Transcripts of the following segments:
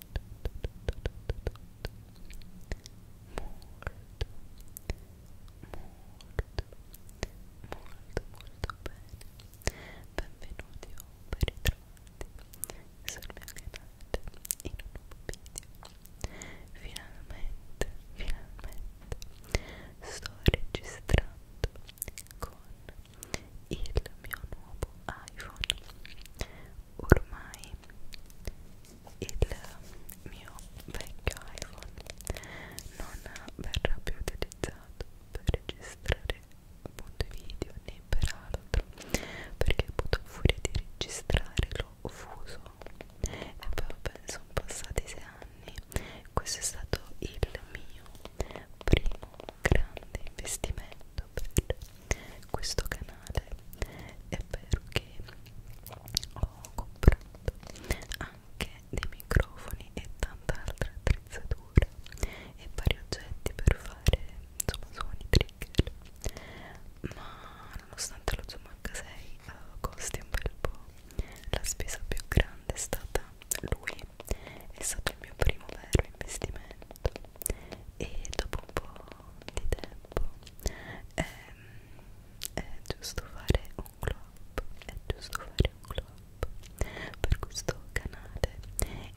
molto bene benvenuti o ben ritrovati sul mio canale in un nuovo video finalmente, finalmente sto registrando con il mio nuovo iPhone ormai il mio vecchio iPhone non verrà più utilizzato per registrare appunto i video né per altro perché appunto furia di registrare l'ho fuso e poi penso passati sei anni questo è stato il mio primo grande investimento per questo canale è vero che ho comprato anche dei microfoni e tanta altra attrezzatura e vari oggetti per fare insomma suoni trigger ma nonostante lo Zoom H6 uh, eh, costi un bel po' la spesa più grande è stata lui è stato il mio primo vero investimento fatto e dopo un po' di tempo è, ehm, è giusto fare un club è giusto fare un club per questo canale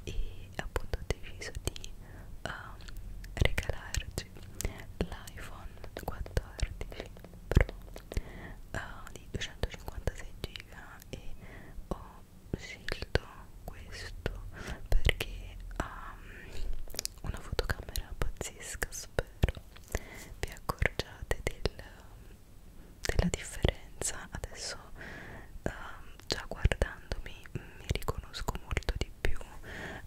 e appunto ho deciso di um, regalarci l'iPhone 14 Pro uh, di 256 giga e ho scelto questo perché ha mm, una fotocamera pazzesca spero vi accorgiate del, della differenza adesso uh, già guardandomi mi riconosco molto di più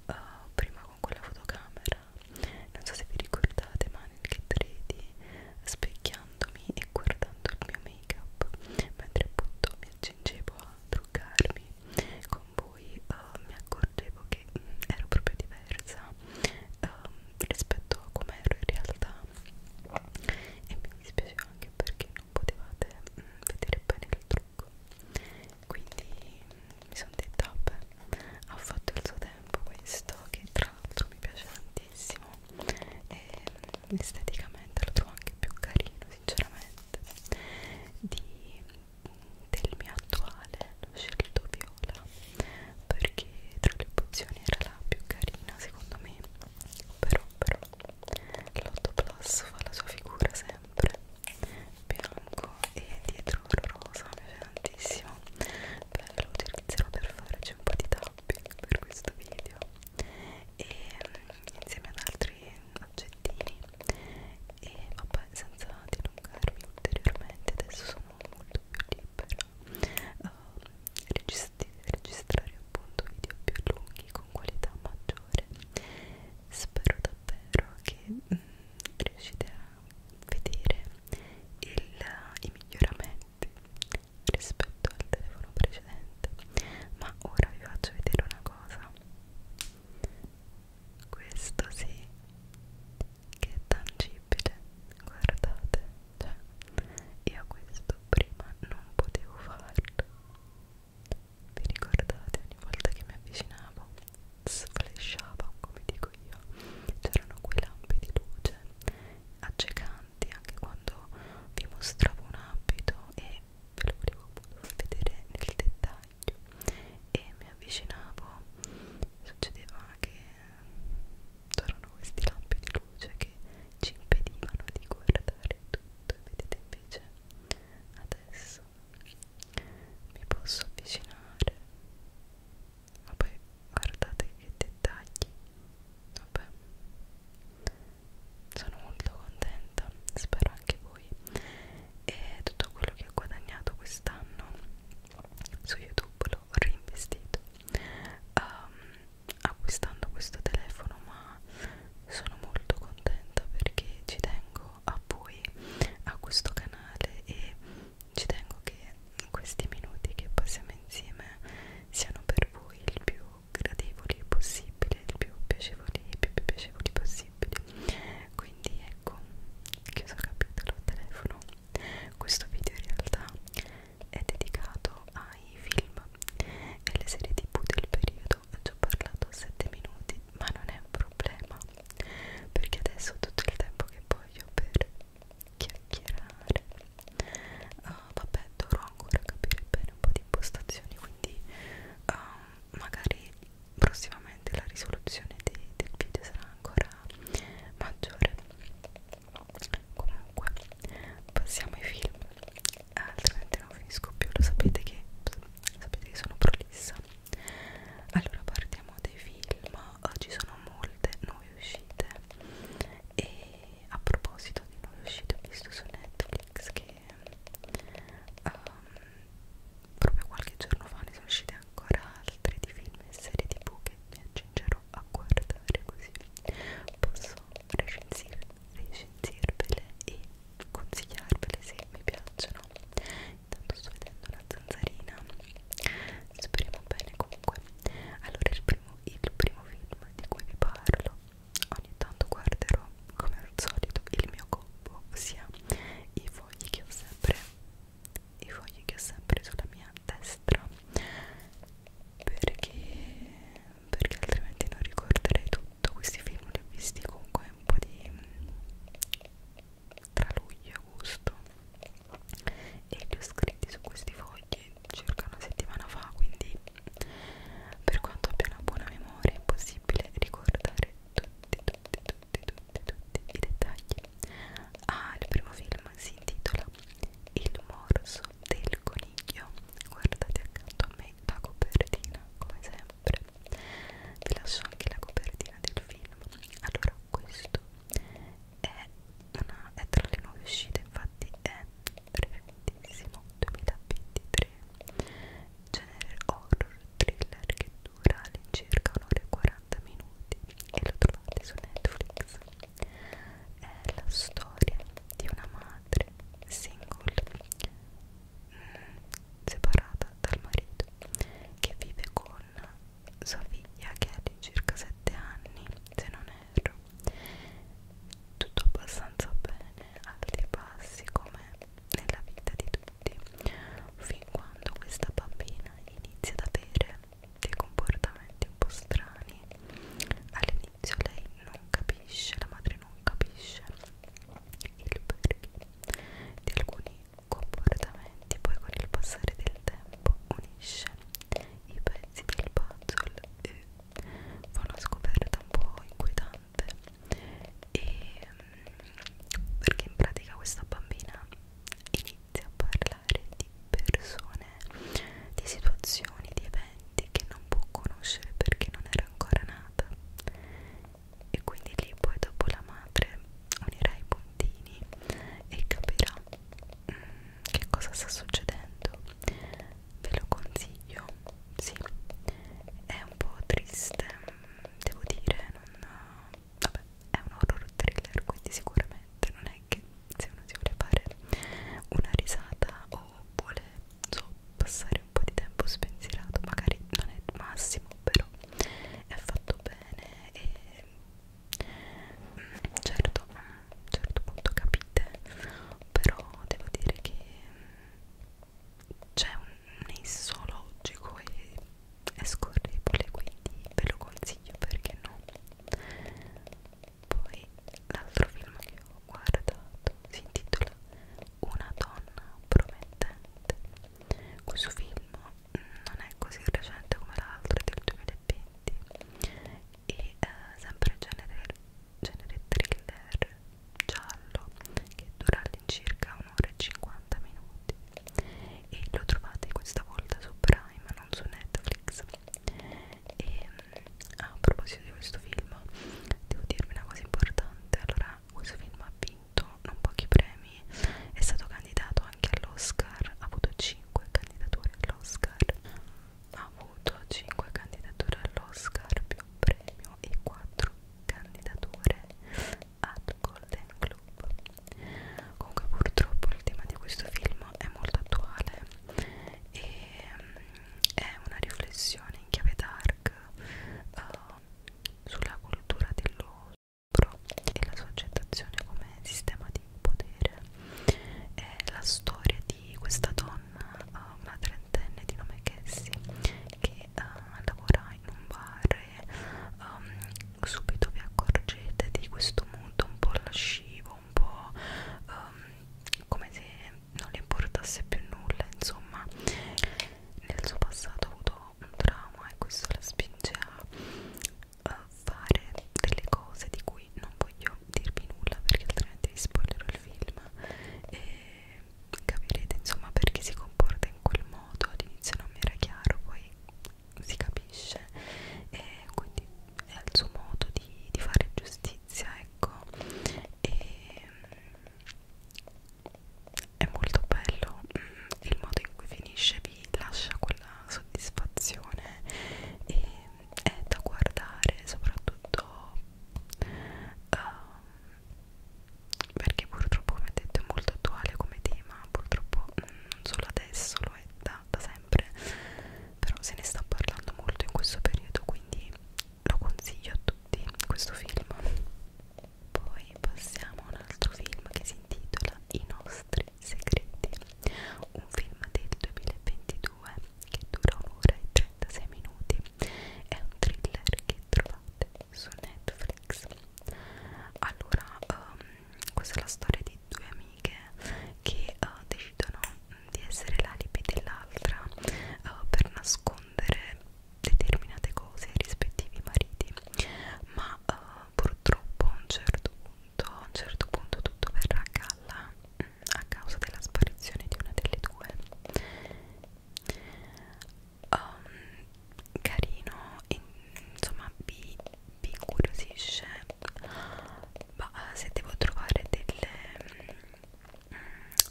uh, prima con quella fotocamera non so se vi ricordate ma nel kit 3D specchiandomi e guardando il mio make up mentre appunto mi accingevo a truccarmi con voi uh, mi accorgevo che mh, mm, ero proprio diversa uh, rispetto a come ero in realtà e mi dispiaceva anche perché non potevate mh, mm, vedere bene il trucco quindi mh, mm, mi sono detta beh ha fatto il suo tempo questo che tra l'altro mi piace tantissimo e esteticamente lo trovo anche più carino sinceramente palette di, del mio attuale ho scelto viola perché tra le opzioni era la più carina secondo me però però l'8 plus fa la sua figura sempre bianco e dietro rosa mi piace tantissimo beh lo utilizzerò per farci un po' di tapping per questo video e ehm, insieme ad altri oggettini e vabbè senza dilungarmi ulteriormente adesso sono molto più libera uh, ehm, registri, registrare appunto video più lunghi con qualità maggiore spero davvero che mm, riuscite a vedere il, i miglioramenti rispetto al telefono precedente ma ora vi faccio vedere una cosa questo sì che è tangibile guardate cioè io questo prima non potevo farlo vi ricordate ogni volta che mi avvicinavo sflesciava come dico io c'erano quei lampi di luce accecanti anche quando vi mostravo un abito e perché ve lo volevo vedere nel dettaglio e mi avvicinavo succedeva che c'erano questi lampi di luce che ci impedivano di guardare tutto e vedete invece adesso mi posso avvicinare ma poi guardate che dettagli vabbè sono molto contenta, spero anche voi e tutto quello che ho guadagnato quest'anno su YouTube l'ho reinvestito um, acquistando questo telefono ma sono molto contenta perché ci tengo a voi, a questo canale e ci tengo che questi minuti che passiamo insieme siano per voi il più gradevoli possibile, il più piacevoli, più, più piacevoli possibile possibili quindi ecco chiuso il capitolo al telefono questo video in realtà è dedicato ai film e alle serie tv del periodo ho già parlato 7 minuti ma non è un problema perché adesso ho tutto il tempo che voglio per chiacchierare uh, vabbè dovrò ancora capire bene un po' di impostazioni quindi um, magari prossimamente la risoluzione di, del video sarà ancora maggiore comunque passiamo ai film altrimenti non finisco più lo sapete che sapete che sono prolissa allora partiamo dai film oggi sono molte nuove uscite e a proposito di nuove uscite ho visto su Netflix che um, proprio qualche giorno fa ne sono uscite ancora altre di film e serie tv che mi accingerò a guardare così posso recensir, recensirvele e consigliarvele se mi piacciono intanto sto vedendo una zanzarina speriamo bene comunque allora il primo, il primo film di cui vi parlo ogni tanto guarderò come al solito il mio combo ossia i fogli che ho sempre i fogli che ho sempre sulla mia destra perché perché altrimenti non ricorderei tutto questi film li ho visti comunque un po' di tra luglio e agosto e li ho scritti su questi fogli circa una settimana fa quindi per quanto abbia una buona memoria è impossibile ricordare tutti, tutti, tutti, tutti, tutti i dettagli. Ah, il primo film si intitola Il morso del coniglio. Guardate accanto a me la copertina, come sempre. Vi lascio anche la copertina del film. Allora, questo è, una, è tra le nuove uscite, infatti è recentissimo 2023 3 genere horror thriller che dura all'incirca un'ora e 40 minuti e lo trovate su Netflix è la storia di una madre single mm, separata dal marito che vive con sua figlia che ha di circa 7 anni se non erro tutto abbastanza bene alti e bassi come nella vita di tutti fin quando questa bambina inizia ad avere dei comportamenti un po' strani all'inizio lei non capisce la madre non capisce il perché di alcuni comportamenti poi con il passare del tempo unisce i pezzi del puzzle e fa una scoperta un po' inquietante e, mm, perché in pratica questa bambina inizia a parlare di persone, di situazioni, di eventi che non può conoscere perché non era ancora nata e quindi lì poi dopo la madre unirà i puntini e capirà mm, che cosa sta succedendo ve lo consiglio sì è un po' triste mm, devo dire non vabbè è un horror thriller quindi sicuramente non è che se uno si vuole fare una risata o vuole so, passare un po' di tempo spensierato magari non è il massimo però è fatto bene e mm, certo a un certo punto capite però devo dire che mm, c'è un nei zoologico e è scorrevole quindi ve lo consiglio perché no poi l'altro film che ho guardato si intitola Una donna promettente questo film non è così recente come l'altro è del 2020 e eh, sempre genere, genere thriller giallo che dura all'incirca un'ora e 50 minuti e lo trovate questa volta su Prime, non su Netflix e mm, a proposito di questo film devo dirvi una cosa importante allora questo film ha vinto non pochi premi è stato candidato anche all'Oscar ha avuto 5 candidature all'Oscar ha avuto 5 candidature all'Oscar più un premio e 4 candidature ad Golden Globe. Comunque purtroppo il tema di questo film è molto attuale e mm, è una riflessione in chiave dark uh, sulla cultura dello stupro e la sua accettazione come sistema di potere. È la storia di questa donna, uh, una trentenne di nome Cassie, che uh, lavora in un bar e um, subito vi accorgete di questo mood un po' lascivo, un po' um, come se non le importasse più nulla, insomma nel suo passato ha avuto un trauma e questo la spinge a, a fare delle cose di cui non voglio dirvi nulla perché altrimenti vi spoilerò il film e capirete insomma perché si comporta in quel modo all'inizio non mi era chiaro poi si capisce e quindi è il suo modo di, di fare giustizia ecco e mm, è molto bello mm, il modo in cui finisce vi lascia quella soddisfazione e mm, è da guardare soprattutto uh, perché purtroppo come detto è molto attuale come tema purtroppo mm, non solo adesso lo è da, da sempre però se ne sta parlando molto in questo periodo quindi lo consiglio a tutti questo film poi passiamo a un altro film che si intitola I nostri segreti un film del 2022 che dura un'ora e 36 minuti è un thriller che trovate su Netflix allora um, questa è la storia di due amiche che uh, decidono mm, di essere l'alibi dell'altra uh, per nascondere determinate cose ai rispettivi mariti ma uh, purtroppo a un certo punto a un certo punto tutto verrà a galla mm, a causa della sparizione di una delle due um, carino e, insomma vi, vi incuriosisce ma eh, se devo trovare delle,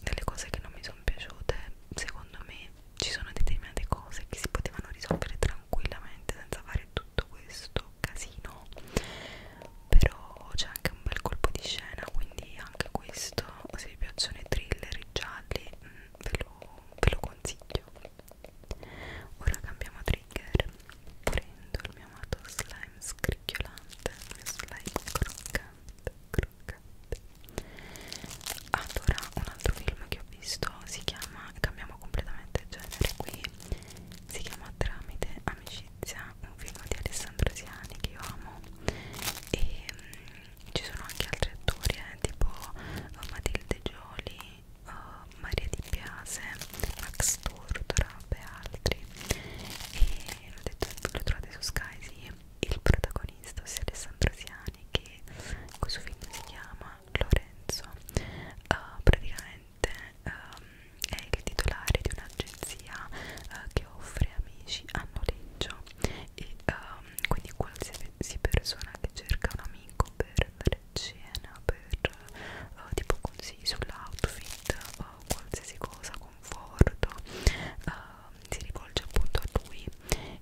delle cose che non mi sono piaciute secondo me ci sono determinate cose che si potevano risolvere tranquillamente senza fare tutto questo casino però c'è anche un bel colpo di scena quindi anche questo se vi piacciono i thriller i gialli mm, ve lo, ve lo consiglio ora cambiamo trigger prendo il mio amato slime scricchiolante il mio slime croccante croccante allora un altro film che ho visto si chiama cambiamo completamente genere qui si chiama Tramite amicizia un film di Alessandro Siani che io amo e mm, ci sono anche altri attori eh, tipo uh, Matilde Gioli, uh, Maria Di Piase, Max Tortora e altri e l'ho detto, lo trovate su Sky sì. il protagonista ossia Alessandro Siani che questo film si chiama Lorenzo uh, praticamente um, è il titolare di un'agenzia uh, che offre amici a noleggio e um, quindi qualsiasi persona che cerca un amico per andare a cena, per uh, tipo consigli sull'outfit o uh, qualsiasi cosa, conforto, uh, si rivolge appunto a lui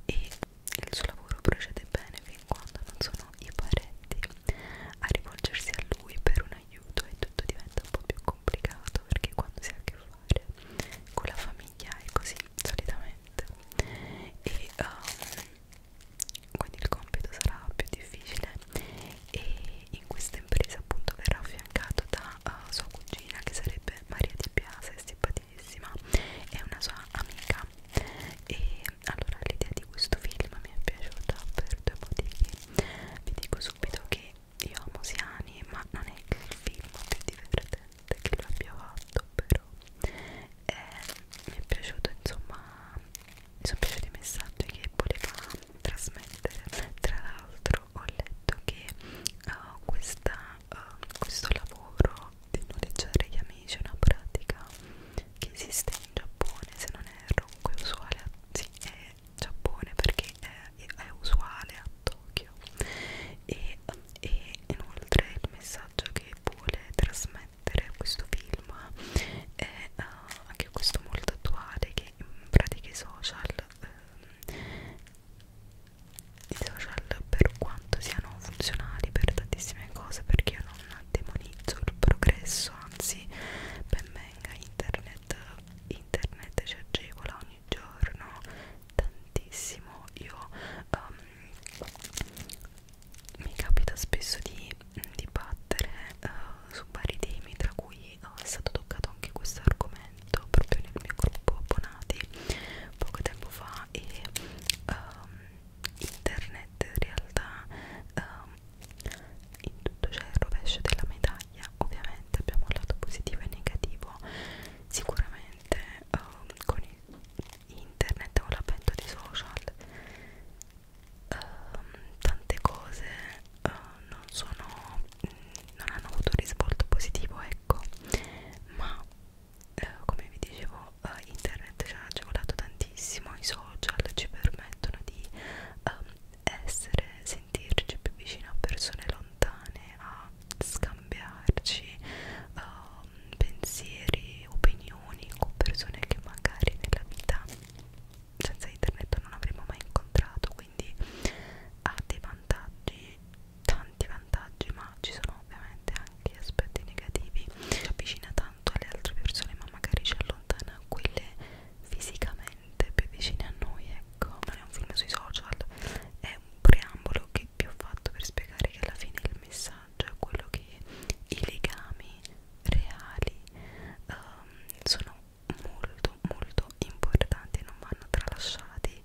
e il suo lavoro procede bene fin quando non sono i parenti a rivolgersi a lui per un aiuto e tutto diventa un po' più complicato perché quando si ha a che fare con la famiglia è così solitamente ovviamente e um, quindi il compito sarà più difficile e in questa impresa appunto verrà affiancato da uh, sua cugina che sarebbe Maria Di Piasa, è simpaticissima è una sua amica e allora l'idea di questo film mi è piaciuta per due motivi vi dico subito che io amo Siani ma non è che il film più divertente divertente che lo abbia fatto però eh, mi è piaciuto insomma mi sono piaciuti i messaggi che voleva trasmettere tra l'altro ho letto che uh, questa, uh, questo lavoro di noleggiare gli amici è una pratica che esiste in Giappone se non erro comunque è usuale a, sì, è Giappone perché è, è usuale a Tokyo e uh, e inoltre il messaggio che vuole trasmettere questo film è uh, anche questo molto attuale che in pratica i social um, i social per quanto siano funzionali per tantissime cose perché io non demonizzo il progresso anzi ben venga internet internet ci agevola ogni giorno tantissimo io um, mi capita spesso di, di battere uh, su vari temi tra cui uh, è stato toccato anche questo argomento proprio nel mio gruppo abbonati poco tempo fa e um, internet in realtà um, in tutto c'è il rovescio della medaglia ovviamente abbiamo un lato positivo e negativo sicuramente um, con internet o l'avvento di social um, tante cose uh, non sono mh, mm, non hanno avuto un risvolto positivo ecco ma uh, come vi dicevo uh, internet ci ha agevolato tantissimo i social ci permettono di um, essere sentirci più vicino a persone lontane a scambiarci uh, pensieri, opinioni con persone che magari nella vita senza internet non avremmo mai incontrato quindi ha dei vantaggi tanti vantaggi ma ci sono ovviamente anche aspetti negativi ci avvicina tanto alle altre persone ma magari ci allontana quelle fisicamente più vicine a noi ecco non è un film sui social è un preambolo che vi ho fatto per spiegare che alla fine il messaggio è quello che i legami reali um, sono molto molto importanti non vanno tralasciati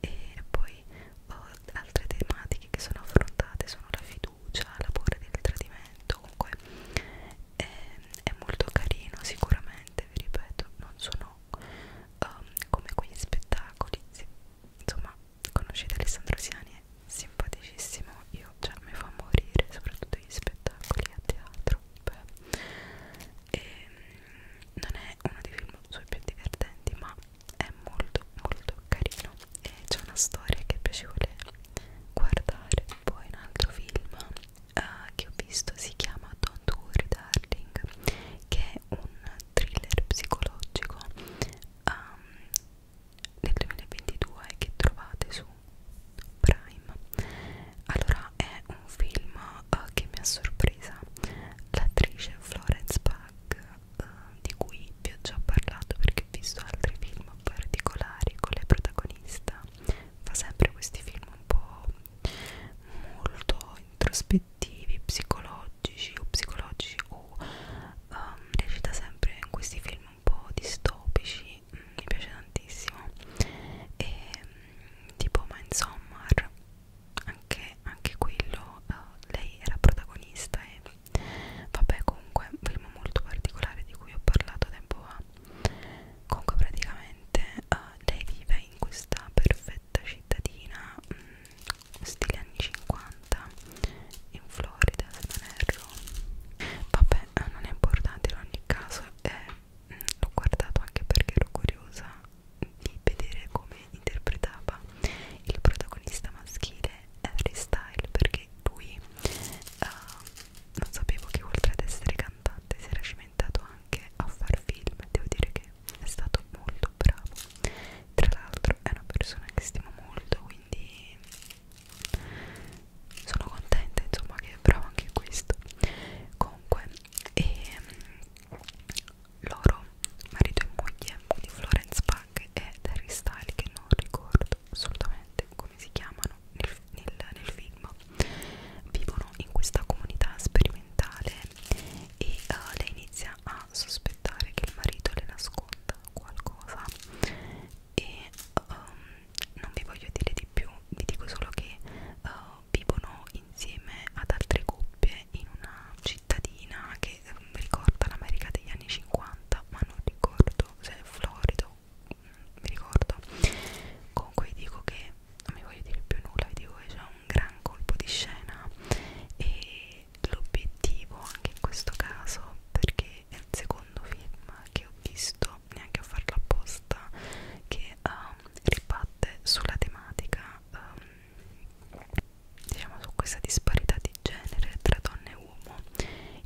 e poi oh, altre tematiche che sono affrontate sono la fiducia, la paura del tradimento comunque è, ehm, è molto carino sicuramente vi ripeto non sono um, come quegli spettacoli sì, insomma conoscete Alessandro Siani è simpaticissimo io cioè mi fa morire soprattutto gli spettacoli a teatro beh. e ehm, non è uno dei film suoi più divertenti ma è molto molto carino e c'è una storia che è piacevole guardare poi un altro film uh, che ho visto si chiama Don't Worry Darling che è un thriller psicologico um, del 2022 che trovate su Prime. Allora è un film uh, che mi ha sorpresa l'attrice Florence Pugh uh, di cui vi ho già parlato perché ho visto altri film particolari con lei protagonista fa sempre questi film un po' molto introspettivi cattivi psicologici o psicologici o um, recita sempre in questi film un po' distopici mm, mi piace tantissimo e mm, tipo ma insomma anche, anche quello uh, lei era protagonista e vabbè comunque un film molto particolare di cui ho parlato tempo fa comunque praticamente uh, lei vive in questa perfetta villetta cittadina mh, mm, stile anni 50 in Florida se non erro vabbè eh, non è importante in ogni caso eh, mm, l'ho guardato anche perché ero curiosa di vedere come interpretava il protagonista maschile Harry Style perché lui uh, non sapevo che oltre ad essere cantante si era cimentato anche a far film devo dire che è stato molto bravo tra l'altro è una persona che stimo molto quindi sono contenta insomma che è bravo anche questo comunque e ehm, loro marito e moglie di Florence Pack e Terry Style che non ricordo assolutamente come si chiamano nel, nel, nel film vivono in questa comunità sperimentale e uh, lei inizia a sospettare che il marito le nasconda qualcosa e um, non vi voglio dire di più, vi dico solo che uh, vivono insieme ad altre coppie in una cittadina che um, ricorda l'America degli anni 50 ma non ricordo se è Florida mi mm, ricordo comunque vi dico che non mi voglio dire più nulla vi dico che c'è un gran colpo di scena e e l'obiettivo anche in questo caso perché è il secondo film che ho visto neanche a farlo apposta che um, ribatte sulla tematica um, diciamo su questa disparità di genere tra donna e uomo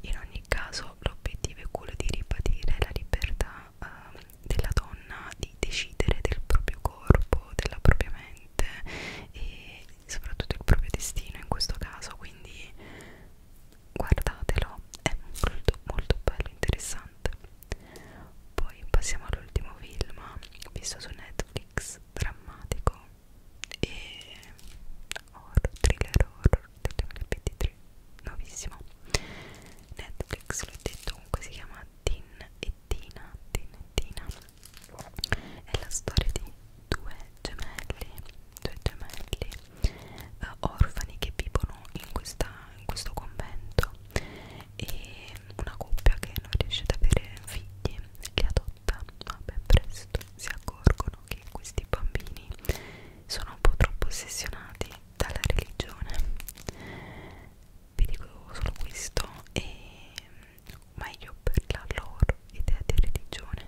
in ogni caso l'obiettivo è quello di ribadire la libertà um, della donna di decidere del proprio corpo della propria mente e soprattutto il proprio destino in questo caso quindi guardatelo è molto molto bello interessante poi passiamo all'ultimo film visto su Netflix drammatico e horror, thriller horror del 2023 nuovissimo Netflix l'ho detto comunque si chiama Tin e Tina Tin e Tina è la storia di due gemelli, due gemelli eh, orfani che vivono in, questa, in questo convento e una coppia che non riesce ad avere figli li adotta ma ben presto si accorgono che questi bambini sono un po' troppo ossessionati dalla religione vi dico solo questo e meglio per la loro idea di religione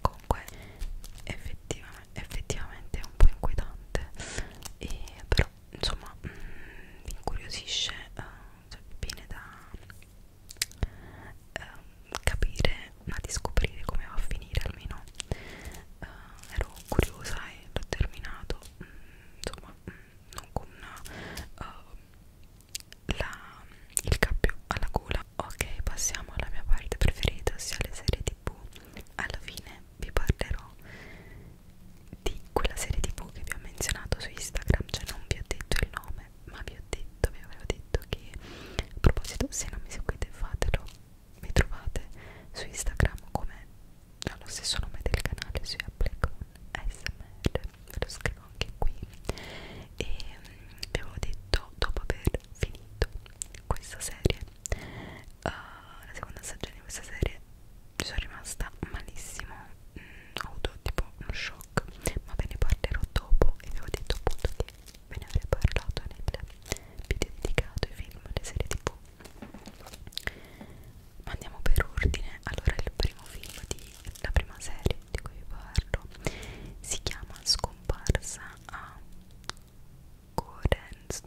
comunque effettivamente, effettivamente è un po' inquietante e però insomma mh, mm, mi incuriosisce uh, cioè, viene da uh, capire ma di scoprire come va a finire almeno uh, ero curiosa e l'ho terminato mm, insomma mm, non con una, uh, eh, la, il cappio alla gola ok passiamo alla mia parte preferita ossia le serie tv alla fine vi parlerò di quella serie tv che vi ho menzionato su instagram cioè non vi ho detto il nome ma vi ho detto vi avevo detto che a proposito se non mi seguite fatelo mi trovate su instagram come ha lo stesso nome del canale su Apple con smr ve lo scrivo anche qui e mm, abbiamo detto dopo aver finito questa serie uh, la seconda stagione di questa serie ci sono rimasta malissimo mm, ho avuto tipo uno shock ma ve ne parlerò dopo e vi ho detto appunto che ve ne avrei parlato nel video dedicato ai film, alle serie tv ma andiamo per ordine. Allora, il primo film di la prima serie di cui vi parlo si chiama Scomparsa a Gorenskog.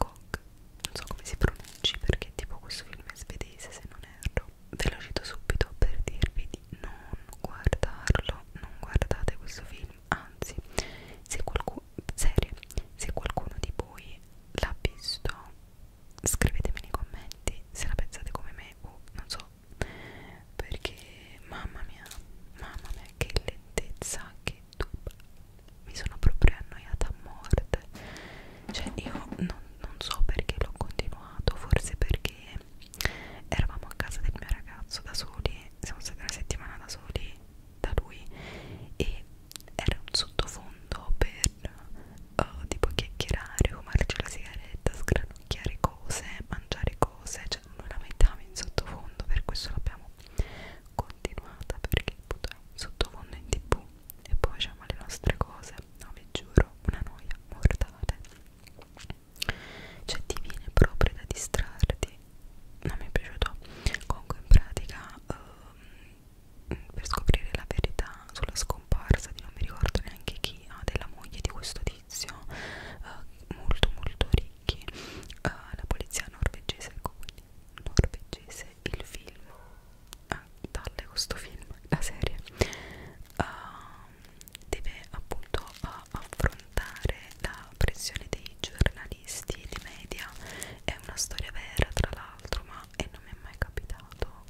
Non so come si pronunci perché, tipo, questo film è svedese. Se non erro, ve lo cito subito per dirvi di non guardarlo. Non guardate questo film. Anzi, se qualcuno, serie, se qualcuno di voi l'ha visto scrivetemi nei commenti se la pensate come me o non so perché mamma mia mamma mia che lentezza che tuba mi sono proprio annoiata a morte cioè io non, non so perché l'ho continuato forse perché eravamo a casa del mio ragazzo da soli siamo stati una settimana da soli da lui e era un sottofondo per per uh, tipo chiacchierare, fumarci la sigaretta, sgranocchiare cose, mangiare cose, cioè noi la mettiamo in sottofondo, per questo l'abbiamo continuata perché appunto è in sottofondo in tv e poi facciamo le nostre cose, no vi giuro, una noia mortale cioè ti viene proprio da distrarti non mi è piaciuto comunque in pratica um, per scoprire la verità sulla scommessa comparsa di non mi ricordo neanche chi ah, della moglie di questo tizio eh, molto molto ricchi eh, la polizia norvegese ecco quindi norvegese il film eh, dalle questo film la serie eh, deve appunto eh, affrontare la pressione dei giornalisti e dei media è una storia vera tra l'altro ma e non mi è mai capitato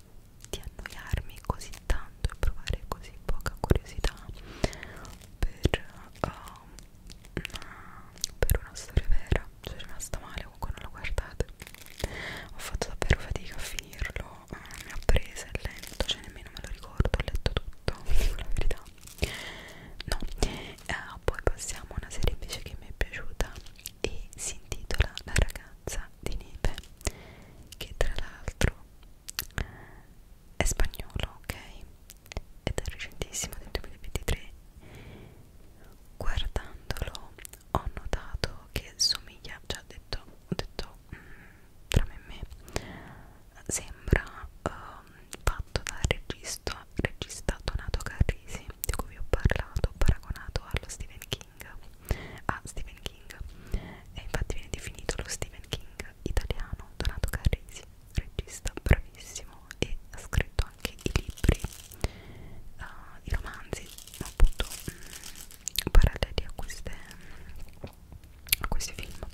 di annoiarmi così tanto e provare così poca curiosità per, uh, per una storia vera sono rimasta male comunque non lo guardate ho fatto davvero fatica a finirlo uh, eh, mi ha preso è lento cioè nemmeno me lo ricordo ho letto tutto dico la verità no uh, poi passiamo a una serie invece che mi è piaciuta e si intitola La ragazza di neve che tra l'altro è spagnolo, ok? Ed è recentissimo del 2023 guardandolo ho notato che somiglia, già detto, ho detto mh, mm, tra me e me sembra um, fatto dal regista, regista Donato Carrisi di cui vi ho parlato, paragonato allo Stephen King King a Stephen King e infatti viene definito lo Stephen King italiano Donato Carrisi regista bravissimo e ha scritto anche i libri uh, i romanzi appunto mh, mm, paralleli a queste mh, a questi film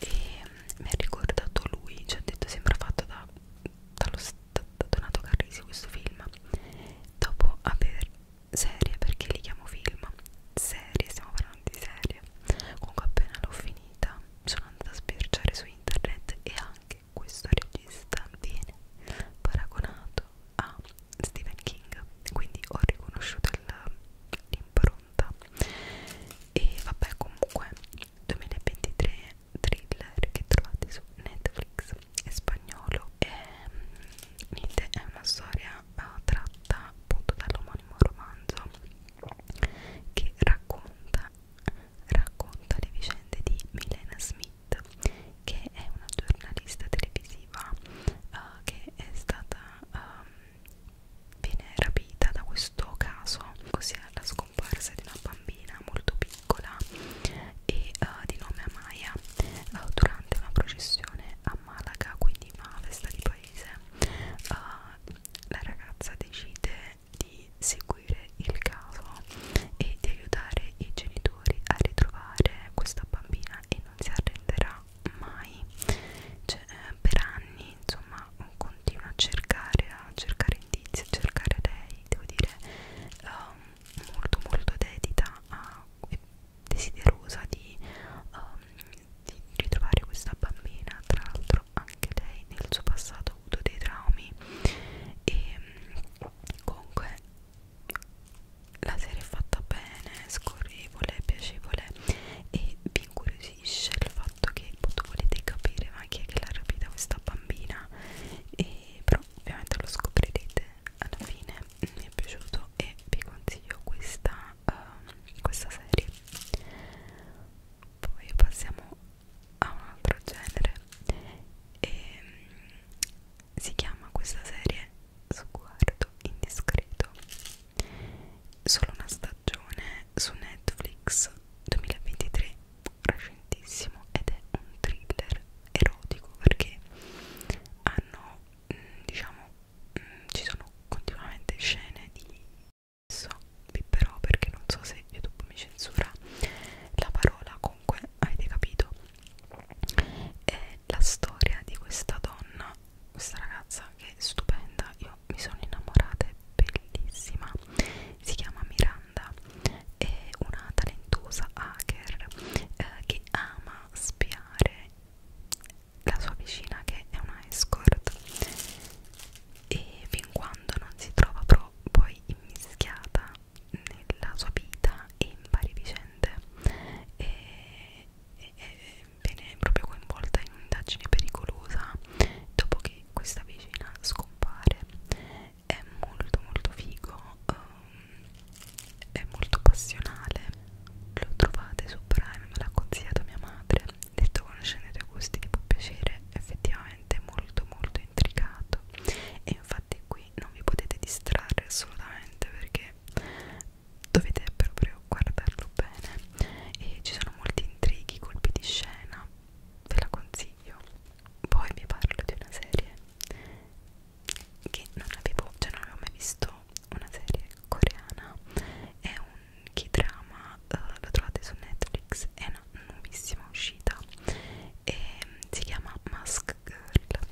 e mh, mm, mi ha ricordato lui ci cioè, ha detto sembra fatto da, dallo, da Donato Carrisi questo film dopo aver serie perché li chiamo film serie stiamo parlando di serie comunque appena l'ho finita sono andata a sbirciare su internet e anche questo regista viene paragonato a Stephen King quindi ho riconosciuto l'impronta e vabbè comunque 2023 thriller che trovate su Netflix è spagnolo e mm, niente, è una storia uh, tratta appunto dall'omonimo romanzo che racconta, racconta le vicende di Milena Smith che è una giornalista televisiva uh, che è stata um, viene rapita da questo caso ossia la scomparsa di una bambina molto piccola e uh, di nome Amaya uh, durante durante una processione a Malaga, quindi una festa di paese, uh, la ragazza decide di seguire il caso e di aiutare i genitori a ritrovare questa bambina e non si arrenderà mai. Cioè, eh, per anni, insomma, continua a cercare, a cercare indizi, a cercare lei, devo dire, um, molto molto dedita a desiderosa di, um, di ritrovare questa bambina tra l'altro anche lei nel suo passato ha avuto dei traumi e comunque la serie è fatta bene scorrevole, piacevole e vi incuriosisce il fatto che volete capire ma chi è che l'ha rapita questa bambina e però ovviamente lo scoprirete alla fine mi è piaciuto e vi consiglio questa, uh, questa serie poi passiamo a un altro genere e um, si chiama questa serie Sguardo indiscreto solo una stagione su Netflix 2023 recentissimo ed è un thriller erotico perché hanno Mm, diciamo mm, ci sono continuamente scene di sesso vi però perché non so se youtube mi censura la parola comunque avete capito è la storia di questa donna questa ragazza che è stupenda io mi sono innamorata è bellissima si chiama Miranda è una talentuosa hacker eh, che ama spiare accompagnare la sua vicina che è una escort e fin quando non si trova però poi immischiata nella sua vita e in varie vicende e, e, e viene proprio coinvolta in un'indagine pericolosa dopo che questa vicina scompare è molto molto figo um, è molto passionale lo trovate su Prime me l'ha consigliato mia madre detto conoscendo i gusti ti può piacere effettivamente è molto molto intricato e infatti qui non vi potete distrarre assolutamente perché dovete proprio guardarlo bene e ci sono molti intrighi colpi di scena ve la consiglio poi vi parlo di una serie che non avevo, cioè non avevo mai visto una serie coreana è un K-drama, uh, eh, lo trovate su Netflix, è una nuovissima uscita e mm, si chiama Mask Girl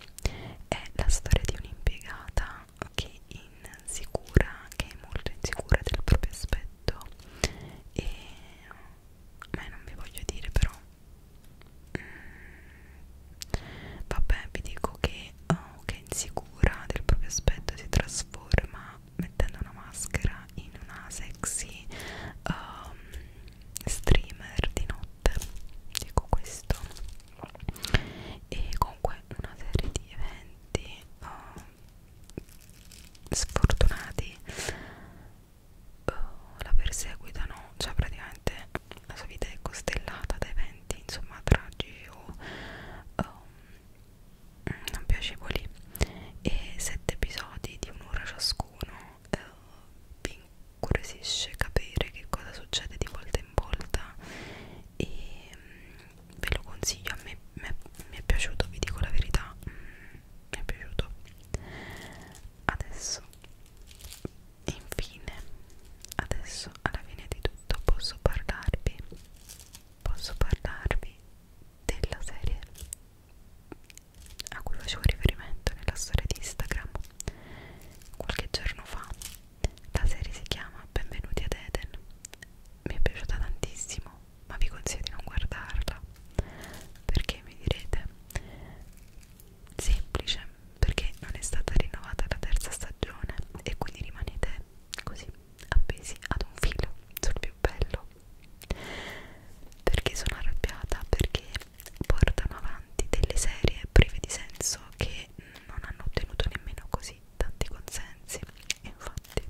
è la storia di un'impiegata che insicura, che è molto insicura del proprio aspetto e ma mm, non vi voglio dire però Mm. Vabbè, vi dico che, oh, che è insicura del proprio aspetto si trasforma mettendo una maschera in una sexy um, streamer di notte. Dico questo. E comunque una serie di eventi oh, sfortunati oh, la perseguitano, cioè praticamente la sua vita è costellata da eventi momenti insomma tragici o um, non piacevoli e sette episodi di un'ora ciascuno uh, vi incuriosisce capire che cosa succede di volta in volta e um, ve lo consiglio a me mi è piaciuto vi dico la verità mm, mi è piaciuto adesso infine adesso alla fine di tutto posso parlarvi posso parlarvi della serie a cui facevo riferimento nella storia di Instagram qualche giorno fa la serie si chiama Benvenuti ad Eden mi è piaciuta tantissimo ma vi consiglio di non guardarla perché mi direte semplice perché non è stata rinnovata la terza stagione e quindi rimanete così appesi ad un filo sul più bello perché sono arrabbiata perché portano avanti delle serie prive di senso che non hanno ottenuto nemmeno così tanti consensi e infatti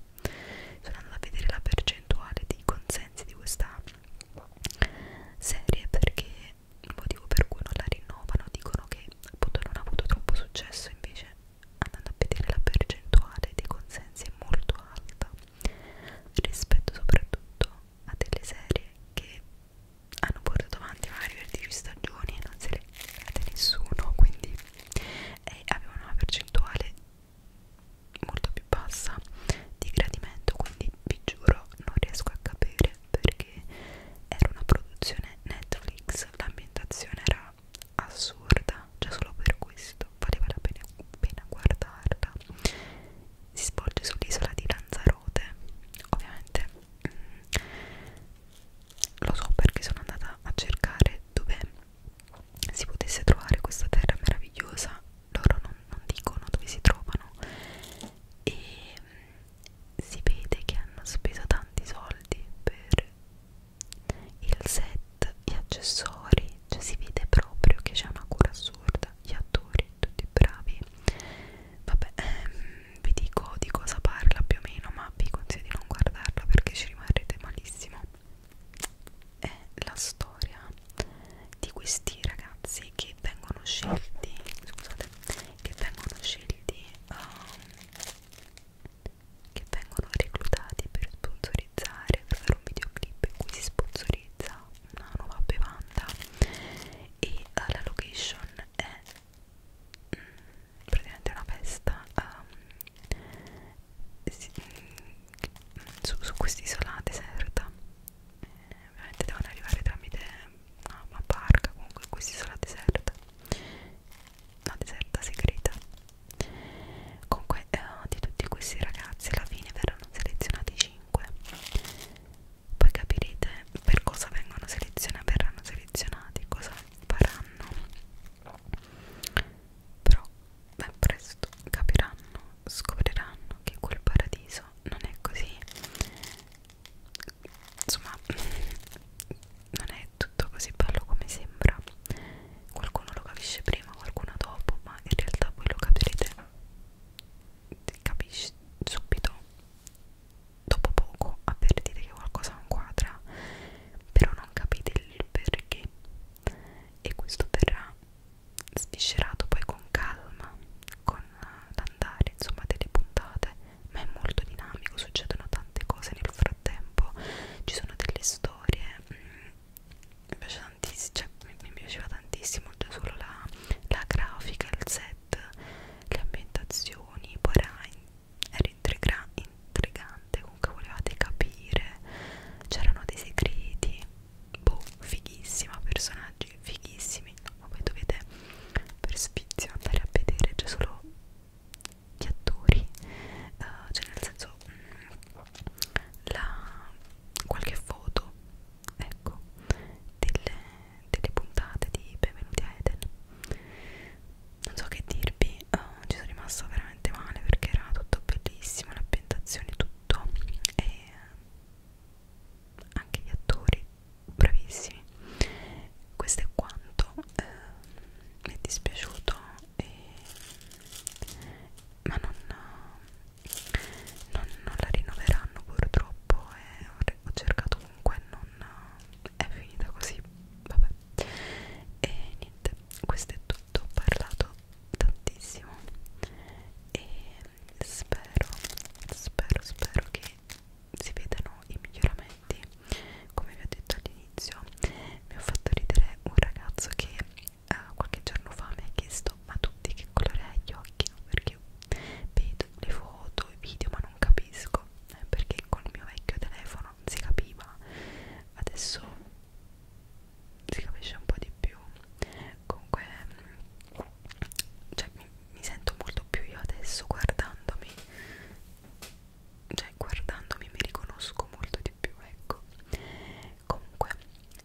sono andata a vedere la percentuale di consensi di questa serie perché il motivo per cui non la rinnovano dicono che appunto non ha avuto troppo successo invece andando a vedere la percentuale dei consensi è molto alta rispetto soprattutto a delle serie che hanno portato avanti magari per 10 stagioni e non se le vede nessuno quindi eh, avevano una percentuale molto più bassa di gradimento quindi vi giuro non riesco a capire perché era una produzione Netflix, l'ambientazione era assurda, cioè solo per questo valeva la pena, pena guardarla. Si svolge sull'isola di Lanzarote, ovviamente mh, mm, lo so perché sono andata a cercare dove si potesse trovare questa terra meravigliosa loro non, non dicono dove si trovano e mh, mm, si vede che hanno speso tanti soldi per il set, gli accessori, cioè si vede proprio che c'è una cura assurda, gli attori tutti bravi. Vabbè, ehm, vi dico di cosa parla più o meno, ma vi consiglio di non guardarla perché ci rimarrete malissimo. È la storia di questi ragazzi che vengono scelti, scusate, che vengono scelti quindi um, ehm, che vengono reclutati per sponsorizzare per fare un videoclip in cui si sponsorizza una nuova bevanda e uh, la location è mh, mm, praticamente una festa um, si, mh, mm, su, su quest'isola deserta eh, ovviamente devono arrivare tramite no, ah, una barca comunque questa isola deserta una deserta segreta comunque eh, di tutti questi ragazzi alla fine verranno selezionati 5 poi capirete per cosa vengono selezionati verranno selezionati cosa faranno però ben presto capiranno scopriranno che quel paradiso non è così insomma non è tutto così bello come sembra qualcuno lo capisce prima qualcuno dopo ma in realtà voi lo capirete capisci subito dopo poco avvertite che qualcosa non quadra però non capite il perché e questo verrà sviscerato poi con calma con ad andare insomma delle puntate ma è molto dinamico succedono tante cose nel frattempo ci sono delle storie mh, mm, mi piace tantissimo cioè, mi, mi piaceva tantissimo già solo la, la grafica il set le ambientazioni poi era, in, era intriga, intrigante comunque volevate capire c'erano dei segreti boh fighissima personaggi personaggi fighissimi ma voi dovete per sfizio andare a vedere c'è solo gli attori uh, cioè nel senso mm, la, qualche foto ecco delle, delle puntate di Benvenuti a Eden non so che dirvi uh, ci sono rimasta veramente male perché era tutto bellissimo l'ambientazione tutto e eh, anche gli attori bravissimi questo è quanto eh, mi è dispiaciuto e... ma non, non, non la rinnoveranno purtroppo eh, e ho cercato comunque non è finita così vabbè e niente questo è tutto ho parlato tantissimo e spero spero spero che si vedano i miglioramenti come vi ho detto all'inizio mi ho fatto ridere un ragazzo che uh, qualche giorno fa mi ha chiesto ma tutti che colore hai gli occhi? No? perché vedo le foto, i video ma non capisco eh, perché con il mio vecchio telefono non si capiva adesso si capisce un po' di più comunque cioè, mi, mi sento molto più io adesso guardandomi cioè guardandomi mi riconosco molto di più ecco comunque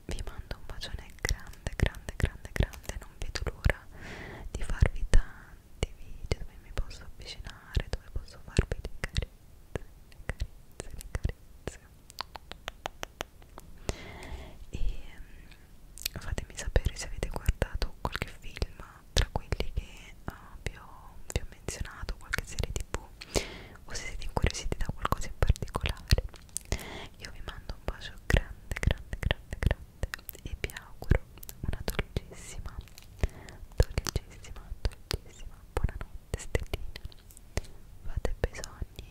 vi mando un bacione grande grande grande grande non vedo l'ora di farvi tanti video dove mi posso avvicinare dove posso farvi le carezze le carezze le carezze e mm, fatemi sapere se avete guardato qualche film tra quelli che uh, vi, ho, vi ho menzionato, qualche serie tv o se siete incuriositi da qualcosa in particolare io vi mando un bacio grande grande grande grande e vi auguro una dolcissima dolcissima dolcissima buonanotte stellina fate bisogni